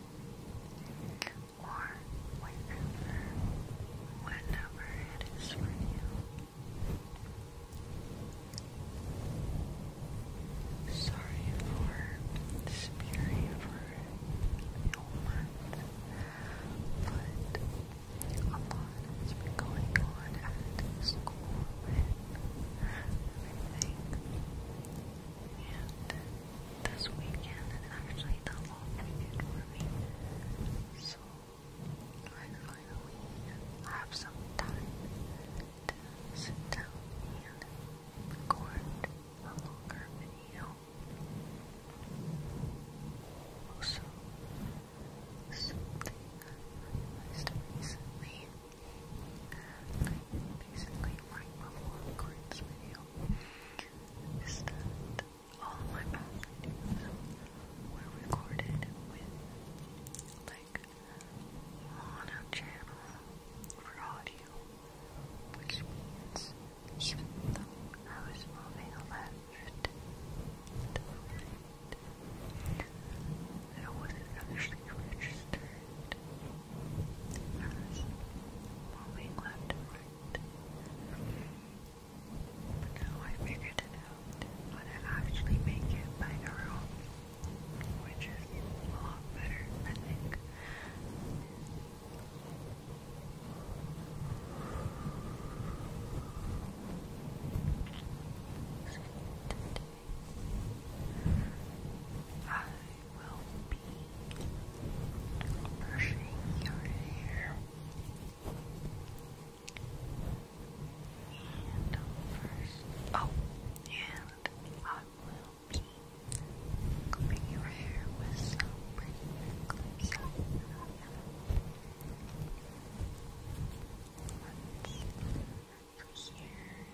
or wherever, whenever it is for you. Sorry for disappearing for a but a lot has been going on at school and everything this weekend and actually the long weekend So I finally have some time to sit down and record a longer video. Also, something I realized recently. I basically right before Corinne's video all my past were recorded with like mono channel for audio, which means I was moving left to right, wasn't actually actually registered as moving left and right. But now I figured it out how to actually make it binaural, which is a lot better, I think. I will be brushing your hair and first oh and I will be combing your hair with some pretty clips. let here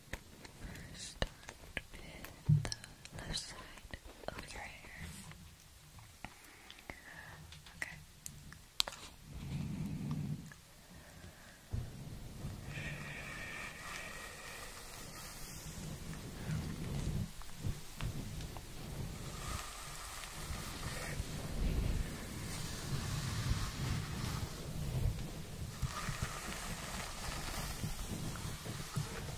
First, start with the left side of your hair. Okay.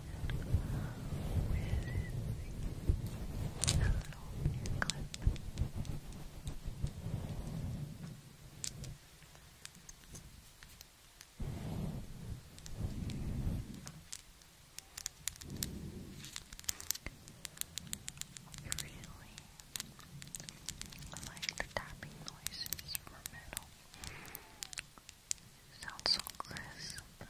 with a really like the tapping noises for metal. sounds so crisp.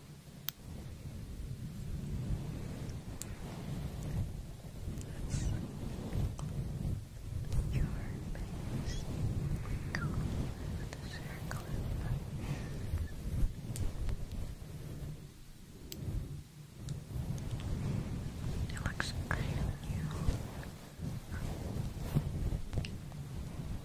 That's your face circle it looks great on you.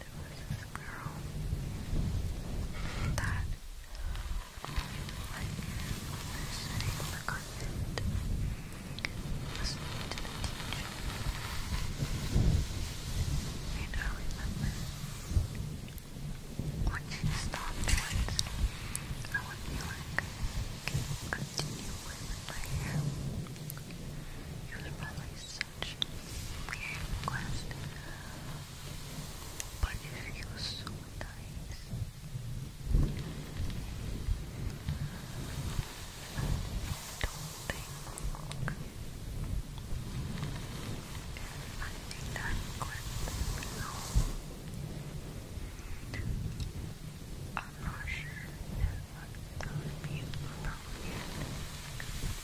there was this girl that was sitting in the convent listening to the teacher. And I remember when she stopped once, I would be like, you continue with my hair? It was probably so such weird request. But it feels so nice. don't think I think that request no. I'm not sure if I thought of you about it.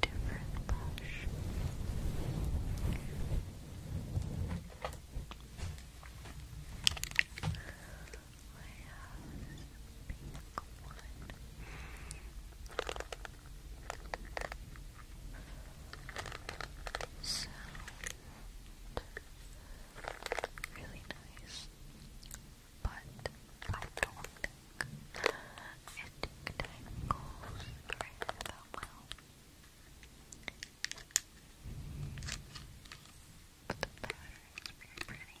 different brush. I have this pink one. Sound really nice, but I don't and technicals right about well. the pattern is very pretty.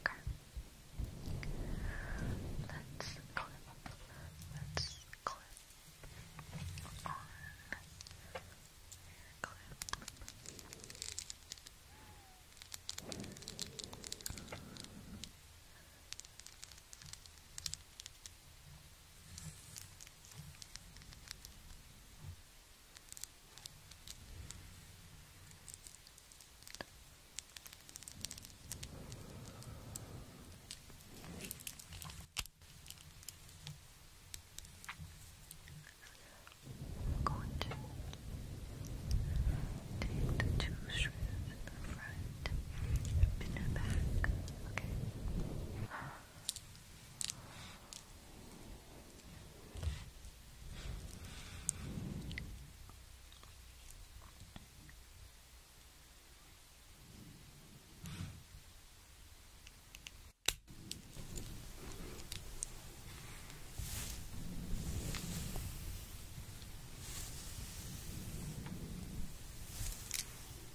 Okay. Let's clip. Let's clip on clip. I'm going to take the two strands front, up in the back. Okay. Okay.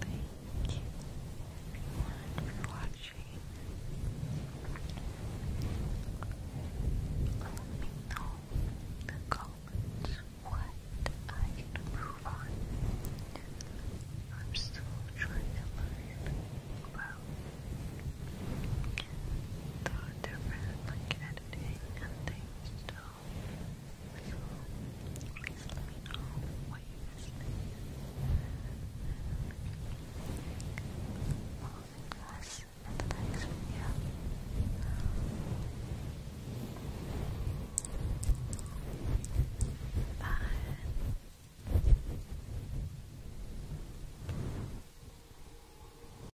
Thank you for watching. Let me know the comments what I can improve on. I'm still trying to learn about the different like editing and things, so please, let me know what you think. I'll see you guys in the Bye.